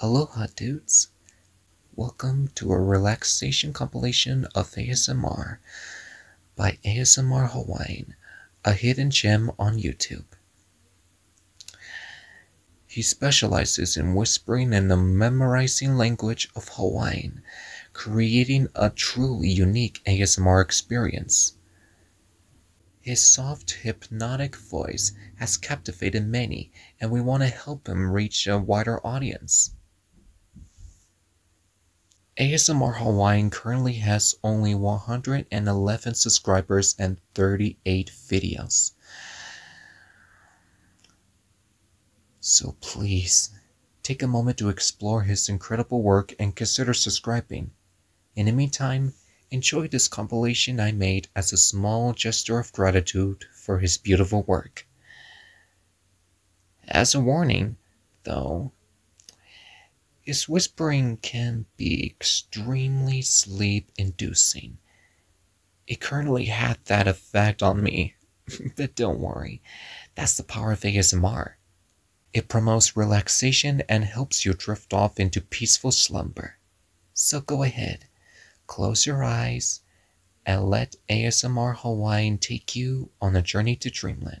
Aloha dudes! Welcome to a relaxation compilation of ASMR by ASMR Hawaiian, a hidden gem on YouTube. He specializes in whispering and the memorizing language of Hawaiian, creating a truly unique ASMR experience. His soft, hypnotic voice has captivated many, and we want to help him reach a wider audience. ASMR Hawaiian currently has only 111 subscribers and 38 videos. So please, take a moment to explore his incredible work and consider subscribing. In the meantime, enjoy this compilation I made as a small gesture of gratitude for his beautiful work. As a warning, though, his whispering can be extremely sleep inducing. It currently had that effect on me, but don't worry, that's the power of ASMR. It promotes relaxation and helps you drift off into peaceful slumber. So go ahead, close your eyes, and let ASMR Hawaiian take you on a journey to dreamland.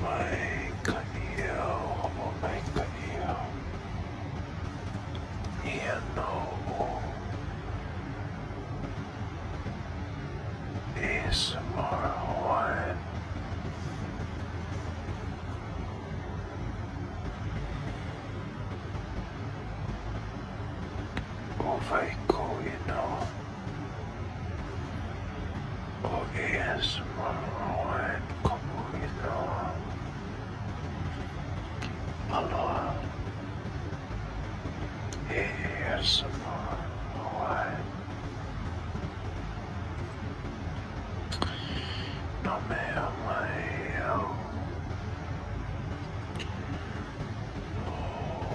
my canio, oh my canio, Iano is more one. Ovaiko, you know. OBS menguat kubu itu Allah AS menguat Namanya Mayo Oh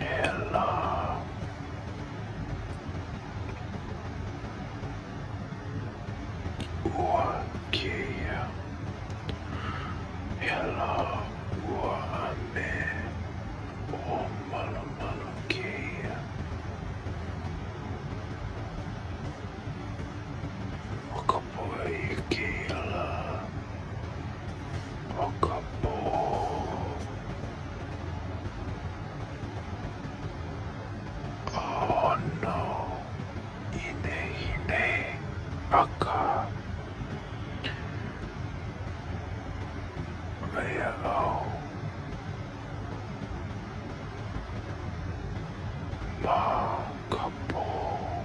Hello. Okay. Hello. Wame. Oh, malo, malo, okay. Poikila, Pokapo. Oh no, Ine Ine, Aka. Leo. Ma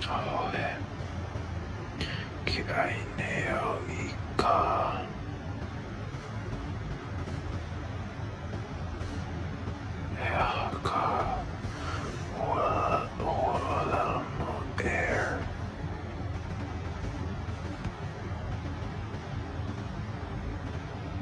Joder. Qué aineónica. Eaka. Guadalmo Air.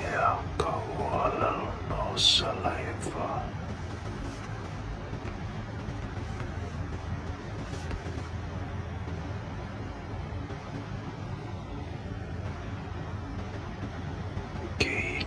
Yeah, go a little more saliva. Gain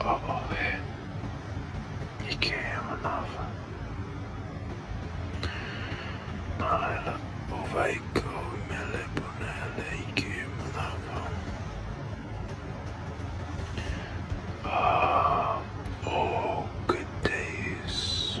Oboe Ikemanava Naila Ovaiko Meleponele Ikemanava Ah, oh, good days.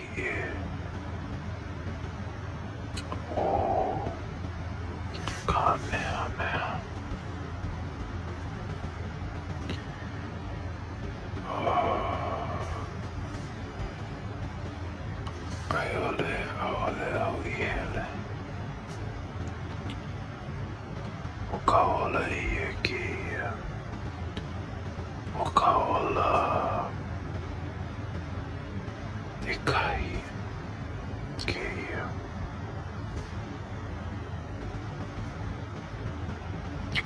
here. Oh, God, man, man. Oh. Really, oh, really, really. Call it a gear. 僕はでかいゲー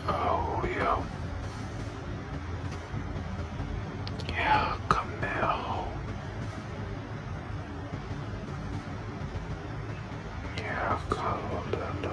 青ややかめ青やかわらら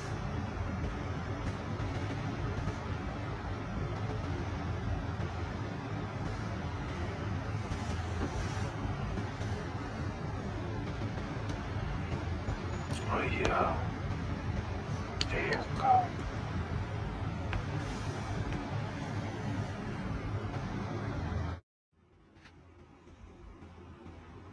Oh yeah. There you go.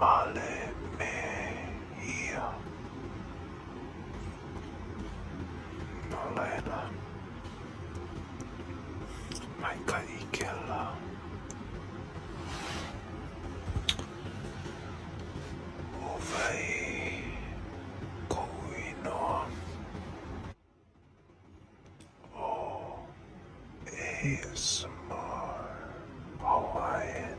Male me here. Noleena, Michael Ikella, Ovei Kouinoa, O ASMR Hawaiian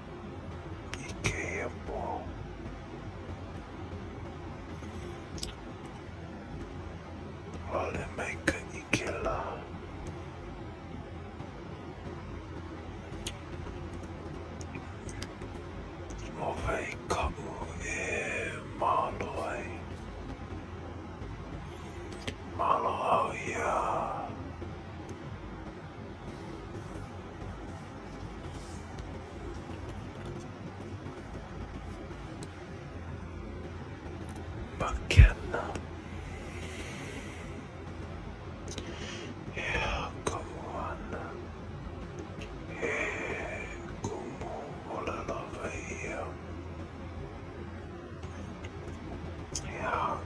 Ikebo. Maker Ikela. Movei Kamu e Maloi. Maloia. Bucket. Yeah, come on. Hey, come on, all over here. Yeah,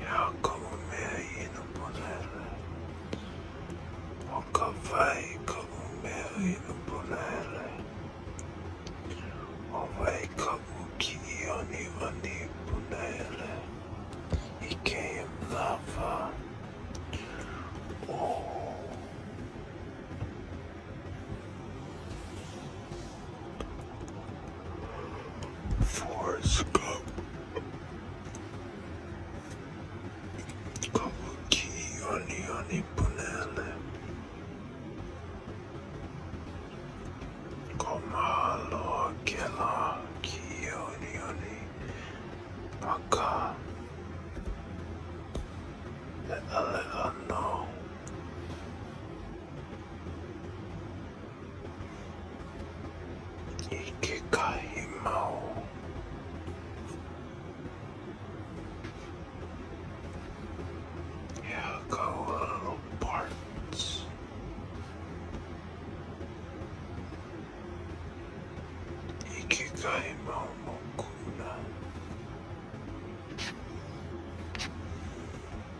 Ya como me oí no ponerla. Boca vai como me oí no ponerla. O vai como que eu nem vou nem ponerla. E Oh. Forrest Gump. Kabuki Yoni Yoni Punele. Komalo Kela Kiyoni Yoni Aka. Le'a Le'a No. Ikekaimo. Yeah, go little parts. Ikekaimo mokuna.